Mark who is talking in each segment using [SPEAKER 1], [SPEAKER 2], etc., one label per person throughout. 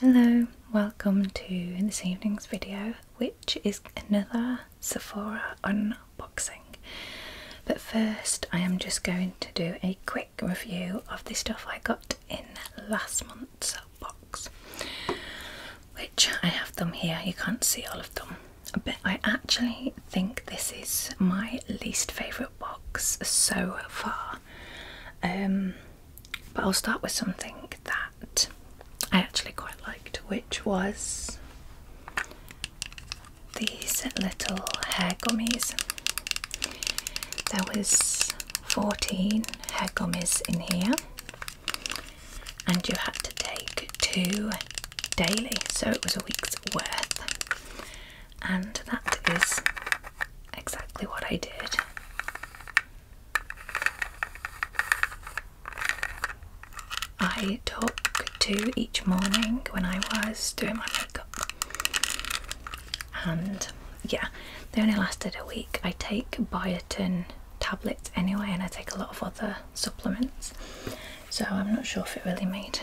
[SPEAKER 1] Hello, welcome to this evening's video, which is another Sephora unboxing. But first, I am just going to do a quick review of the stuff I got in last month's box, which I have them here, you can't see all of them. But I actually think this is my least favourite box so far. Um, but I'll start with something that I actually quite liked, which was these little hair gummies. There was 14 hair gummies in here and you had to take two daily so it was a week's worth and that is exactly what I did. I took two each morning when I was doing my makeup, and yeah, they only lasted a week. I take biotin tablets anyway, and I take a lot of other supplements, so I'm not sure if it really made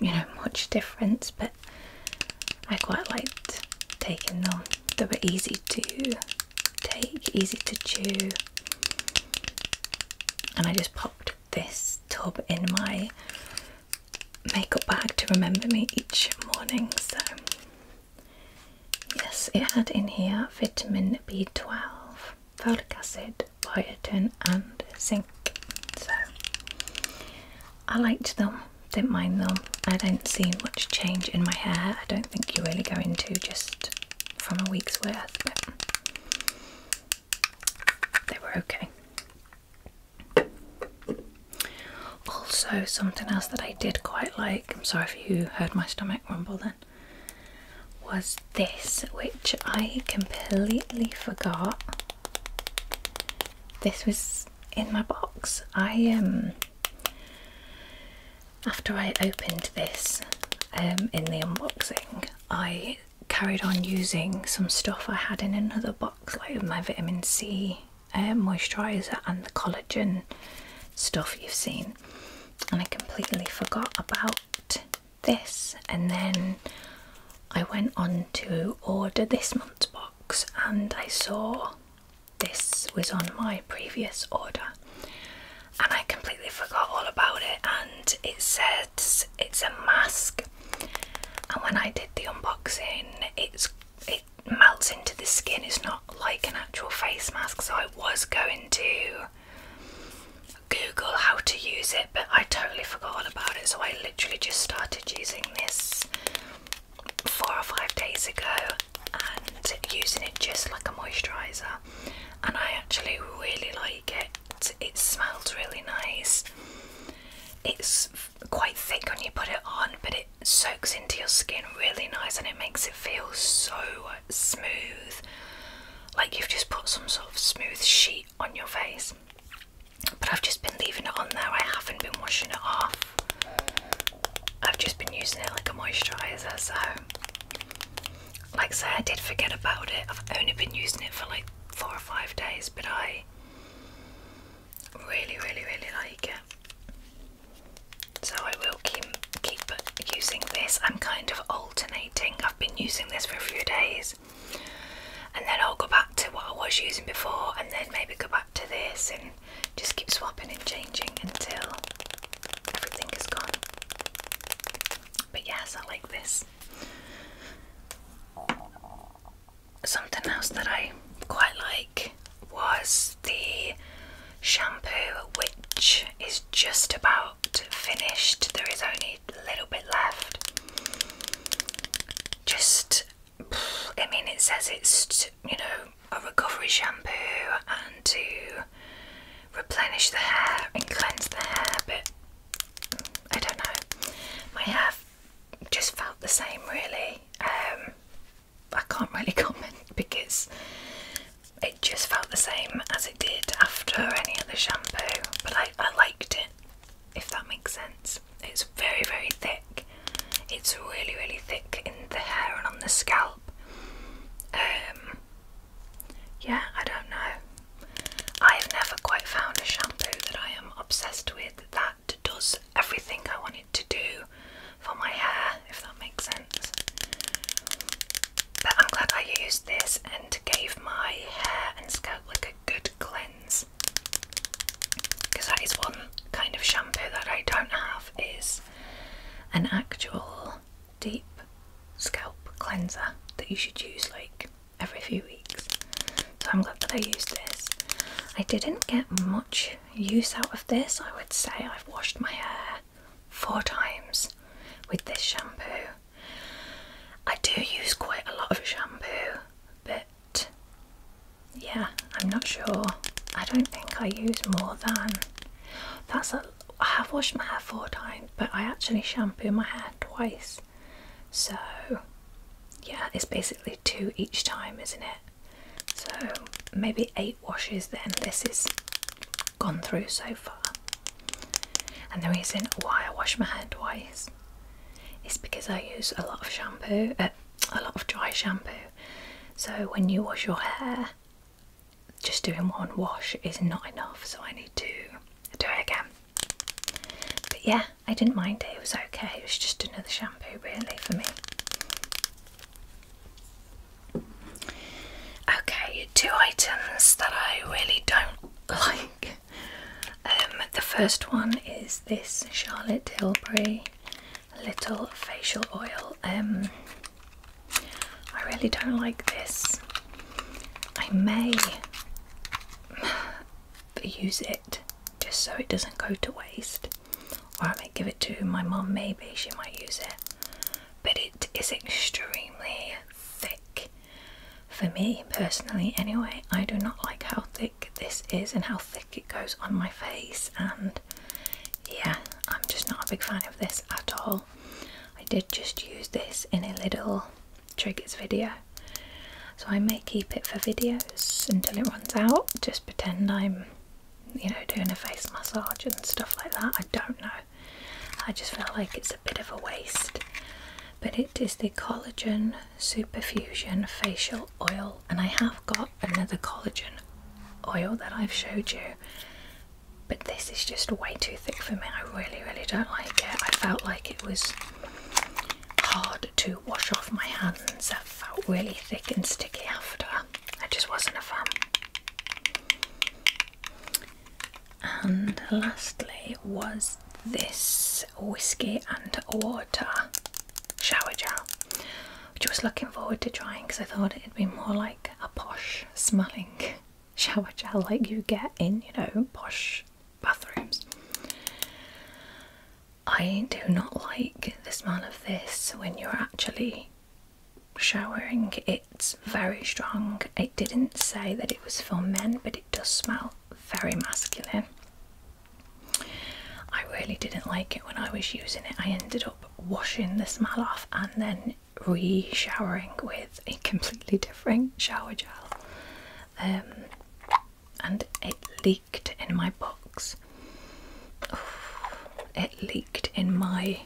[SPEAKER 1] you know much difference, but. I quite liked taking them. They were easy to take, easy to chew, and I just popped this tub in my makeup bag to remember me each morning. So, yes, it had in here vitamin B12, folic acid, biotin, and zinc. So, I liked them, didn't mind them. I don't see much change in my hair. I don't think you really go into just from a week's worth, they were okay. Also, something else that I did quite like, I'm sorry if you heard my stomach rumble then, was this, which I completely forgot. This was in my box. I um after I opened this um, in the unboxing, I carried on using some stuff I had in another box, like my vitamin C uh, um, moisturiser and the collagen stuff you've seen, and I completely forgot about this. And then I went on to order this month's box, and I saw this was on my previous order and I completely forgot all about it and it says it's a mask and when I did the unboxing it's it melts into the skin it's not like an actual face mask so I was going to Google how to use it but I totally forgot all about it so I literally just started using this four or five days ago and using it just like a moisturiser and I actually really like it. It smells really nice. It's quite thick when you put it on but it soaks into your skin really nice and it makes it feel so smooth like you've just put some sort of smooth sheet on your face. But I've just been leaving it on there, I haven't been washing it off. I've just been using it like a moisturiser, so like I said, I did forget about it. I've only been using it for like four or five days, but I really, really, really like it. So I will keep keep using this. I'm kind of alternating. I've been using this for a few days, and then I'll go back to what I was using before, and then maybe go back to this, and just keep swapping and changing until everything is gone. But yes, I like this. Something else that I quite like was the shampoo, which is just about finished. There is only a little bit left. Just I mean, it says it's, you know, a recovery shampoo and to replenish the hair and cleanse the hair, but I don't know. My hair just felt the same, really. Um, I can't really comment because it just felt the same as it did after any other shampoo, but I, I liked it, if that makes sense. It's very, very thick. It's really, really thick in the hair and on the scalp. Um, yeah, I don't know. I have never quite found a shampoo that I am obsessed with that does everything I want it to do for my hair, if that makes sense. But I'm glad I used this and gave my hair and scalp like a good cleanse because that is one kind of shampoo that I don't have is an actual deep scalp cleanser that you should use like every few weeks. So I'm glad that I used this. I didn't get much use out of this. I would say I've washed my hair four times with this shampoo. I do use quite a lot of shampoo, but yeah, I'm not sure. I don't think I use more than that's a. I have washed my hair four times, but I actually shampoo my hair twice. So yeah, it's basically two each time, isn't it? So maybe eight washes then. This is gone through so far. And the reason why I wash my hair twice is because I use a lot of shampoo, a lot of dry shampoo. So when you wash your hair, just doing one wash is not enough. So I need to do it again. But yeah, I didn't mind it. It was okay. It was just another shampoo really for me. Okay, two items that I really don't like. Um, the first one is this Charlotte Tilbury little facial oil. Um, I really don't like this. I may use it just so it doesn't go to waste, or I may give it to my mum, maybe she might use it. But it is extremely thick for me personally, anyway. I do not like how thick this is and how thick it goes on my face and yeah I'm just not a big fan of this at all I did just use this in a little triggers video so I may keep it for videos until it runs out just pretend I'm you know doing a face massage and stuff like that I don't know I just feel like it's a bit of a waste but it is the collagen Superfusion Facial Oil, and I have got another collagen oil that I've showed you, but this is just way too thick for me. I really, really don't like it. I felt like it was hard to wash off my hands. It felt really thick and sticky after. I just wasn't a fan. And lastly was this whiskey and water shower gel, which I was looking forward to trying because I thought it'd be more like a posh smelling shower gel like you get in, you know, posh bathrooms. I do not like the smell of this when you're actually showering. It's very strong. It didn't say that it was for men, but it does smell very masculine. I really didn't like it when I was using it. I ended up washing the smell off and then re showering with a completely different shower gel. Um, and it leaked in my box. It leaked in my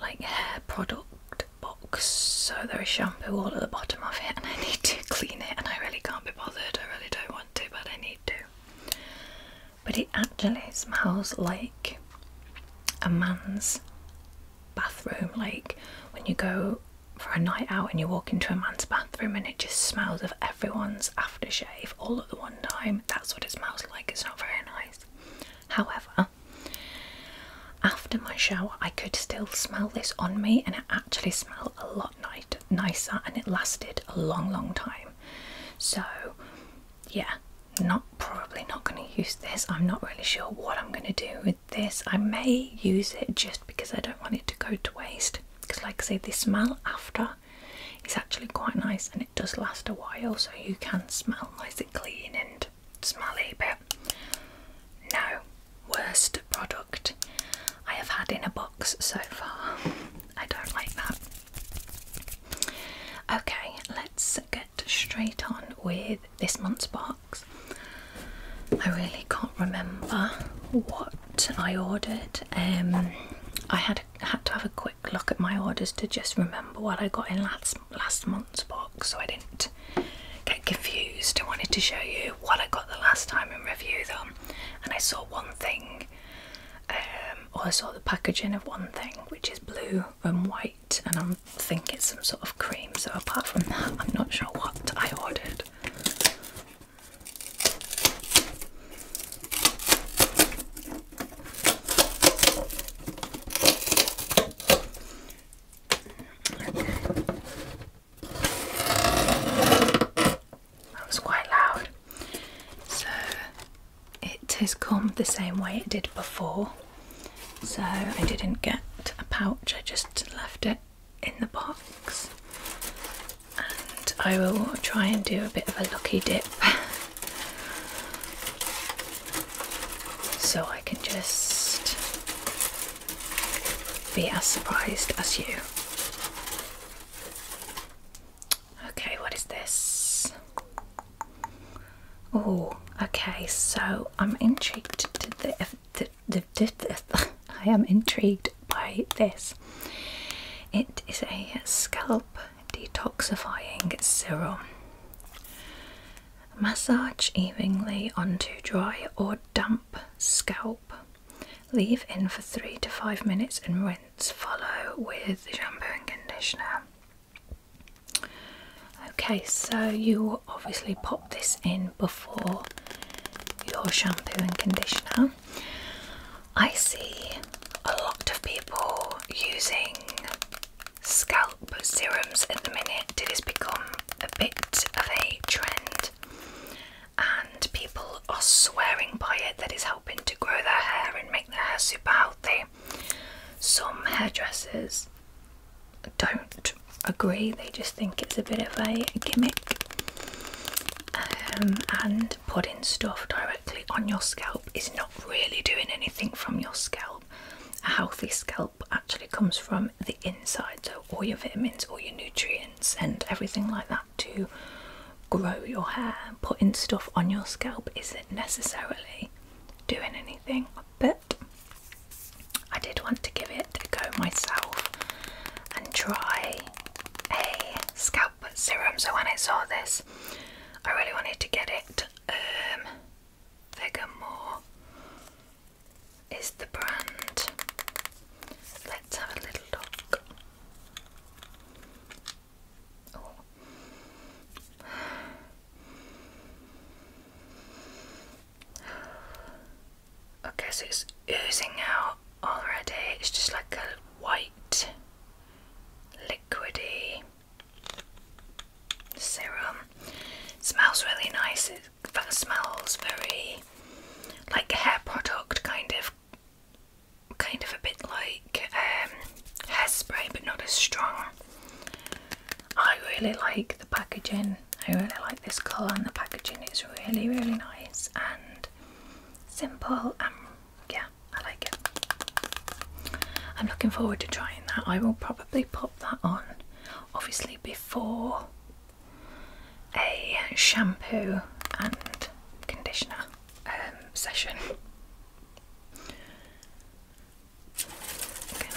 [SPEAKER 1] like hair product box. So there is shampoo all at the bottom of it, and I need to clean it. And I really can't be bothered. I really don't do but I need to. But it actually smells like a man's bathroom. Like when you go for a night out and you walk into a man's bathroom and it just smells of everyone's aftershave all at the one time. That's what it smells like. It's not very nice. However, after my shower, I could still smell this on me, and it actually smelled a lot Nice, nicer and it lasted a long long time so yeah not probably not going to use this i'm not really sure what i'm going to do with this i may use it just because i don't want it to go to waste because like i say the smell after is actually quite nice and it does last a while so you can smell nice and clean and smelly but no worst product I have had in a box so far. I don't like that. Okay, let's get straight on with this month's box. I really can't remember what I ordered. Um, I had had to have a quick look at my orders to just remember what I got in last last month's box, so I didn't get confused. I wanted to show you what I got the last time and review them and I saw one thing, um, or I saw the packaging of one thing, which is blue and white, and I think it's some sort of cream. So apart from that, I'm not sure what I ordered. That was quite loud. So it has come the same way it did before. So I didn't get a pouch, I just left it in the box. And I will try and do a bit of a lucky dip. so I can just be as surprised as you. Okay, what is this? Oh, okay. So I'm intrigued to the, I am intrigued by this. It is a scalp detoxifying serum. Massage evenly onto dry or damp scalp. Leave in for three to five minutes and rinse. Follow with shampoo and conditioner. Okay, so you obviously pop this in before your shampoo and conditioner. I see a lot of people using scalp serums at the minute. It has become a bit of a trend and people are swearing by it that it's helping to grow their hair and make their hair super healthy. Some hairdressers don't agree, they just think it's a bit of a gimmick. Um, and putting stuff directly on your scalp is not really doing anything from your scalp. A healthy scalp actually comes from the inside, so all your vitamins, all your nutrients and everything like that to grow your hair, putting stuff on your scalp isn't necessarily doing anything, but I did want to give it a go myself and try a scalp serum. So when I saw this, I really wanted to get it bigger, um, more is the brand. Let's have a little look. Oh. Okay, so it's oozing out already. It's just like a white, liquidy serum. smells really nice that smells very like hair product kind of kind of a bit like um, hairspray but not as strong. I really like the packaging. I really like this colour and the packaging is really really nice and simple and yeah, I like it. I'm looking forward to trying that. I will probably pop that on obviously before a shampoo and conditioner um, session.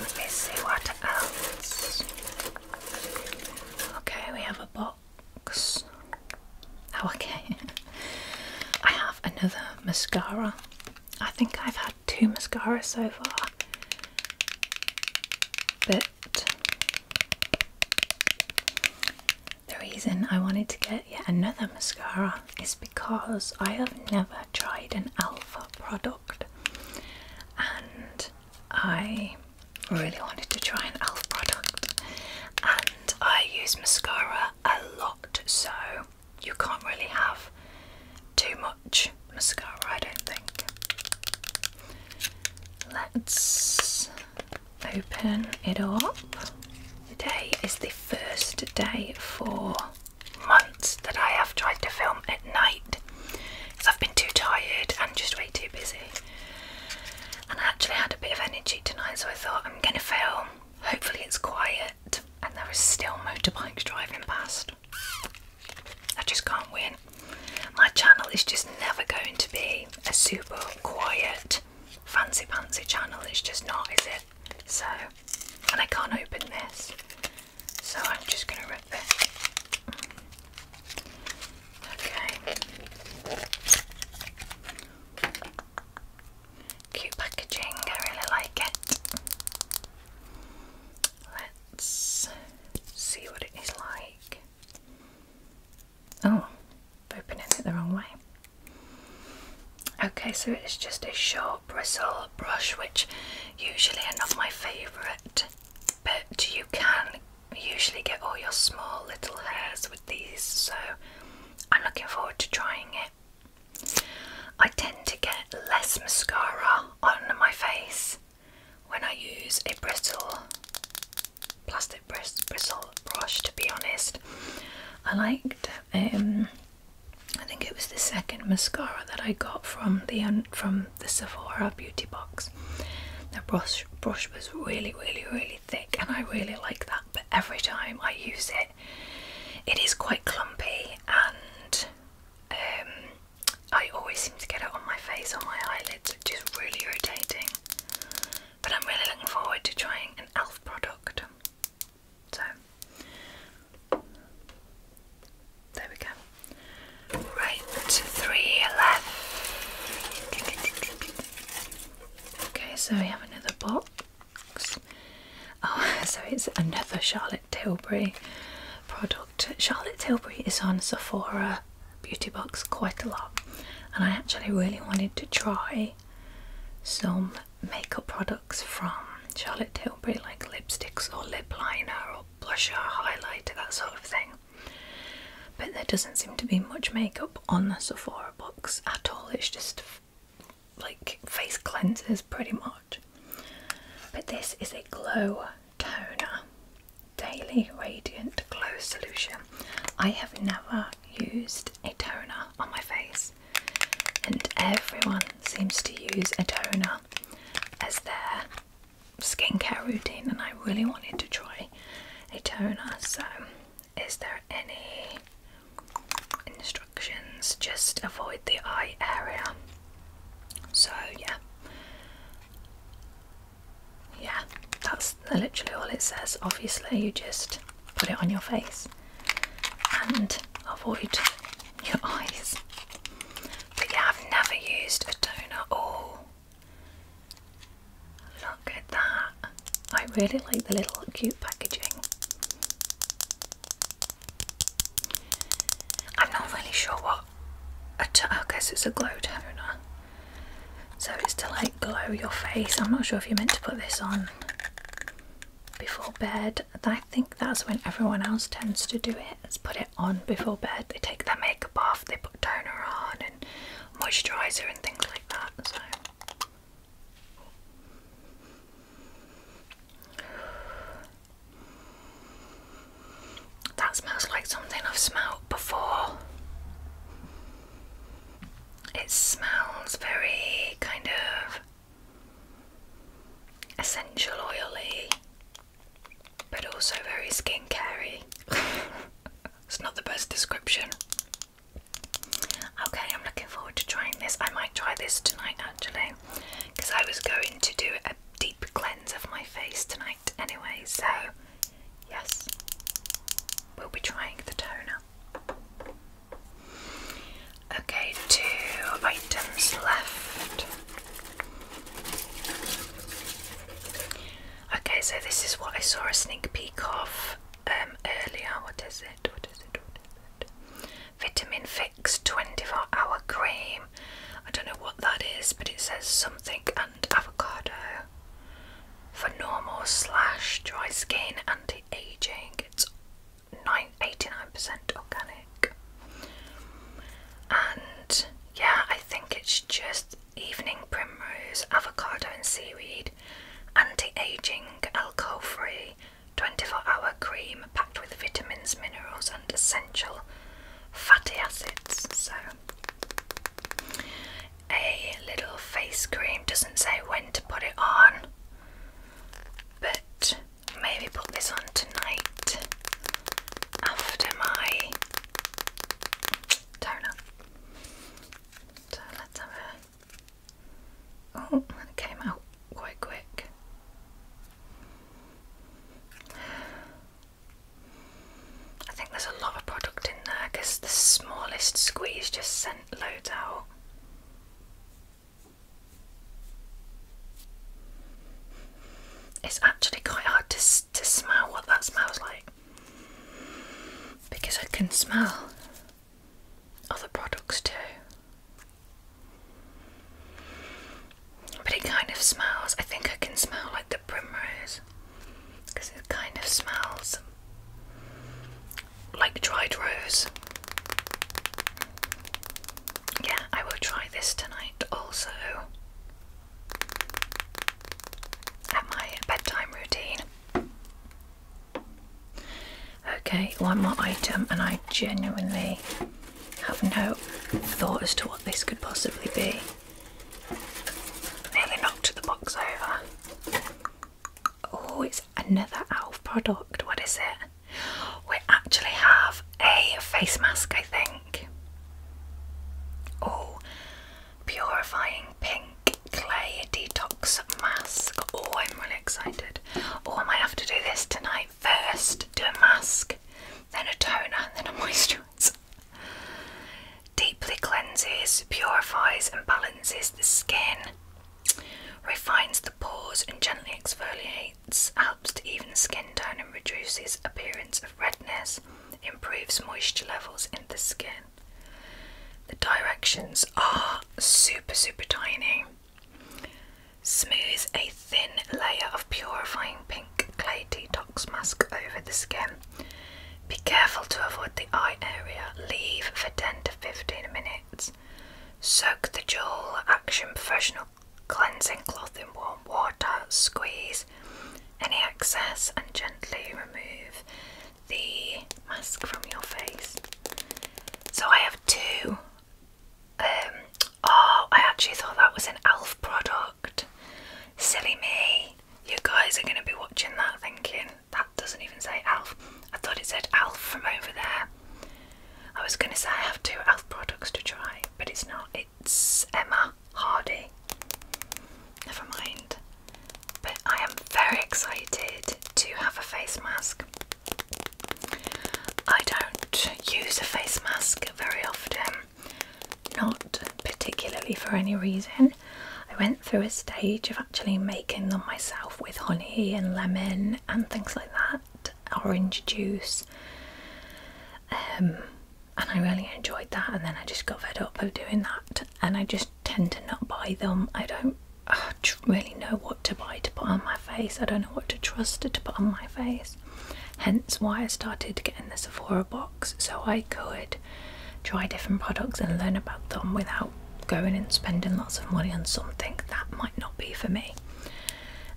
[SPEAKER 1] let me see what else. Okay, we have a box. Oh, okay. I have another mascara. I think I've had two mascaras so far. But the reason I wanted to get yet another mascara is because I have never tried an alpha product and I really wanted to try an alpha product and I use mascara a lot so you can't really have too much mascara I don't think. Let's open it up. Today is the first day for months that I have tried to film at night because I've been too tired and just way too busy. And I actually had a bit of energy tonight, so I thought I'm gonna film. Hopefully, it's quiet and there are still motorbikes driving past. I just can't win. My channel is just never going to be a super quiet, fancy fancy channel. It's just not, is it? So, and I can't open this, so I'm just going to rip it. Okay. Cute packaging, I really like it. Let's see what it is like. Oh, I'm opening it the wrong way. Okay, so it's just a short bristle brush, which usually are not my favourite, but you can usually get all your small little hairs with these, so I'm looking forward to trying it. I tend to get less mascara on my face when I use a bristle, plastic bristle brush to be honest. I liked, um, I think it was the second mascara that I got from the from the Sephora Beauty Box. The brush, brush was really really really thick and I really like that but every time I use it it is quite clumpy and um, I always seem to get it on my face, on my eyelids, which is really irritating. But I'm really looking forward to trying an e.l.f. product. So, there we go. Right, three left. Okay, so we have another box. Oh, so it's another Charlotte Tilbury product. Charlotte Tilbury is on Sephora Beauty Box quite a lot, and I actually really wanted to try some makeup products from Charlotte Tilbury, like lipsticks or lip liner or blusher, highlighter, that sort of thing. But there doesn't seem to be much makeup on the Sephora box at all, it's just like face cleansers pretty much. But this is a glow toner daily radiant glow solution i have never used a toner on my face and everyone seems to use a toner as their skincare routine and i really wanted to try a toner so is there any instructions just avoid the eye area so yeah yeah, that's literally all it says. Obviously, you just put it on your face and avoid your eyes. But yeah, I've never used a toner all. Look at that. I really like the little cute packaging. I'm not really sure what I guess it's a glow toner. So it's to like glow your face. I'm not sure if you meant to put this on before bed. I think that's when everyone else tends to do it. It's put it on before bed. They take their makeup off, they put toner on and moisturizer and things like that. So that smells like something I've smelled before. It smells very kind of essential oily, but also very skin skincarey. it's not the best description. Okay, I'm looking forward to trying this. I might try this tonight actually, because I was going to do a deep cleanse of my face tonight anyway, so yes, we'll be trying the toner. Okay, two items left. Okay, so this is what I saw a sneak peek of um, earlier. What is it? What is it? What is it? Vitamin Fix 24 Hour Cream. I don't know what that is, but it says something avocado for normal slash dry skin anti-aging it's 989 percent organic and yeah I think it's just evening primrose avocado and seaweed anti-aging alcohol free 24 hour cream packed with vitamins minerals and essential fatty acids so a little face cream doesn't say when to put it on, but maybe put this on tonight after my toner. So let's have a. Oh, that came out quite quick. I think there's a lot of product in there because the smallest squeeze just sent loads out. It's actually quite hard to, to smell what that smells like because I can smell other products too. But it kind of smells. I think I can smell like the primrose because it kind of smells like dried rose. Yeah, I will try this tonight also at my bedtime routine. Okay, one more item, and I genuinely have no thought as to what this could possibly be. Nearly knocked the box over. Oh, it's another ALF product. What is it? We actually have a face mask, I think. Oh, purifying pink clay detox mask. Oh, I'm really excited. Oh, I might have to do this tonight. First, do a mask, then a toner, and then a moisturiser. Deeply cleanses, purifies, and balances the skin. Refines the pores and gently exfoliates, helps to even skin tone and reduces appearance of redness, improves moisture levels in the skin. The directions are super super tiny. Smooth a thin layer of purifying pink clay detox mask over the skin. Be careful to avoid the eye area. Leave for 10 to 15 minutes. Soak the Jewel Action Professional Cleansing Cloth in warm water. Squeeze any excess and gently remove the mask from your face. So I have two um, Oh, I actually thought that was an ELF product. Silly me. You guys are going to be watching that thinking, that doesn't even say ELF. I thought it said ELF from over there. I was going to say I have two ELF products to try, but it's not. It's Emma Hardy. Never mind. But I am very excited to have a face mask. I don't use a face mask very often not particularly for any reason. I went through a stage of actually making them myself with honey and lemon and things like that, orange juice. Um, and I really enjoyed that, and then I just got fed up of doing that, and I just tend to not buy them. I don't really know what to buy to put on my face, I don't know what to trust to put on my face. Hence why I started getting the Sephora box so I could try different products and learn about them without going and spending lots of money on something that might not be for me.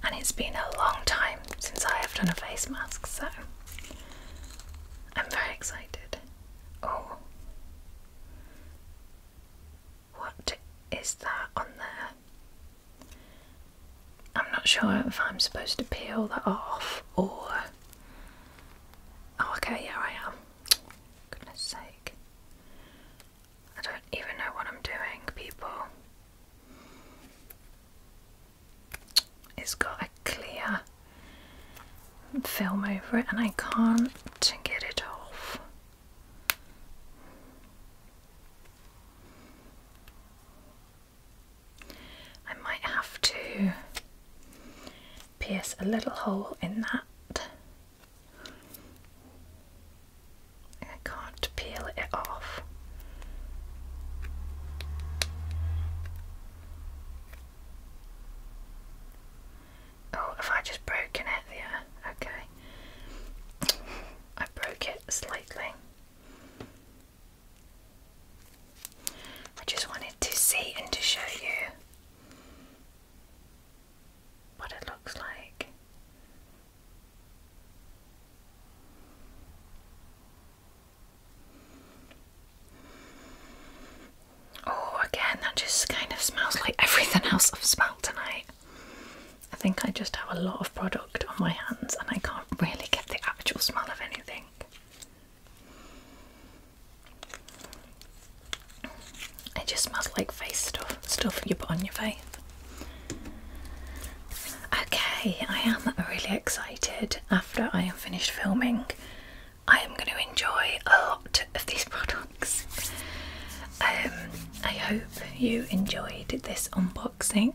[SPEAKER 1] And it's been a long time since I have done a face mask, so I'm very excited. Oh. What is that on there? I'm not sure if I'm supposed to peel that off or. Oh, okay, yeah, I am. Goodness sake. I don't even know what I'm doing, people. It's got a clear film over it, and I can't get it off. I might have to pierce a little hole in that. I can't peel it off. Oh, have I just broken it? Yeah, okay. I broke it slightly. I just wanted to see and to show you what it looks like. Oh, again, that just kind of smells like everything else I've smelled tonight. I think I just have a lot of products on my hands and I can't really get the actual smell of anything. It just smells like face stuff, stuff you put on your face. Okay, I am really excited. After I am finished filming, I am going to enjoy a lot of these products. Um, I hope you enjoyed this unboxing unboxing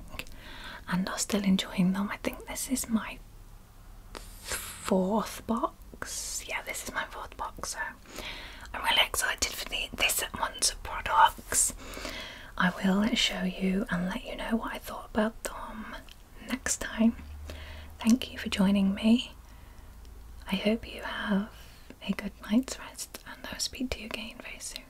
[SPEAKER 1] and I'm still enjoying them. I think this is my fourth box. Yeah, this is my fourth box. So I'm really excited for the, this one's products. I will show you and let you know what I thought about them next time. Thank you for joining me. I hope you have a good night's rest and I'll speak to you again very soon.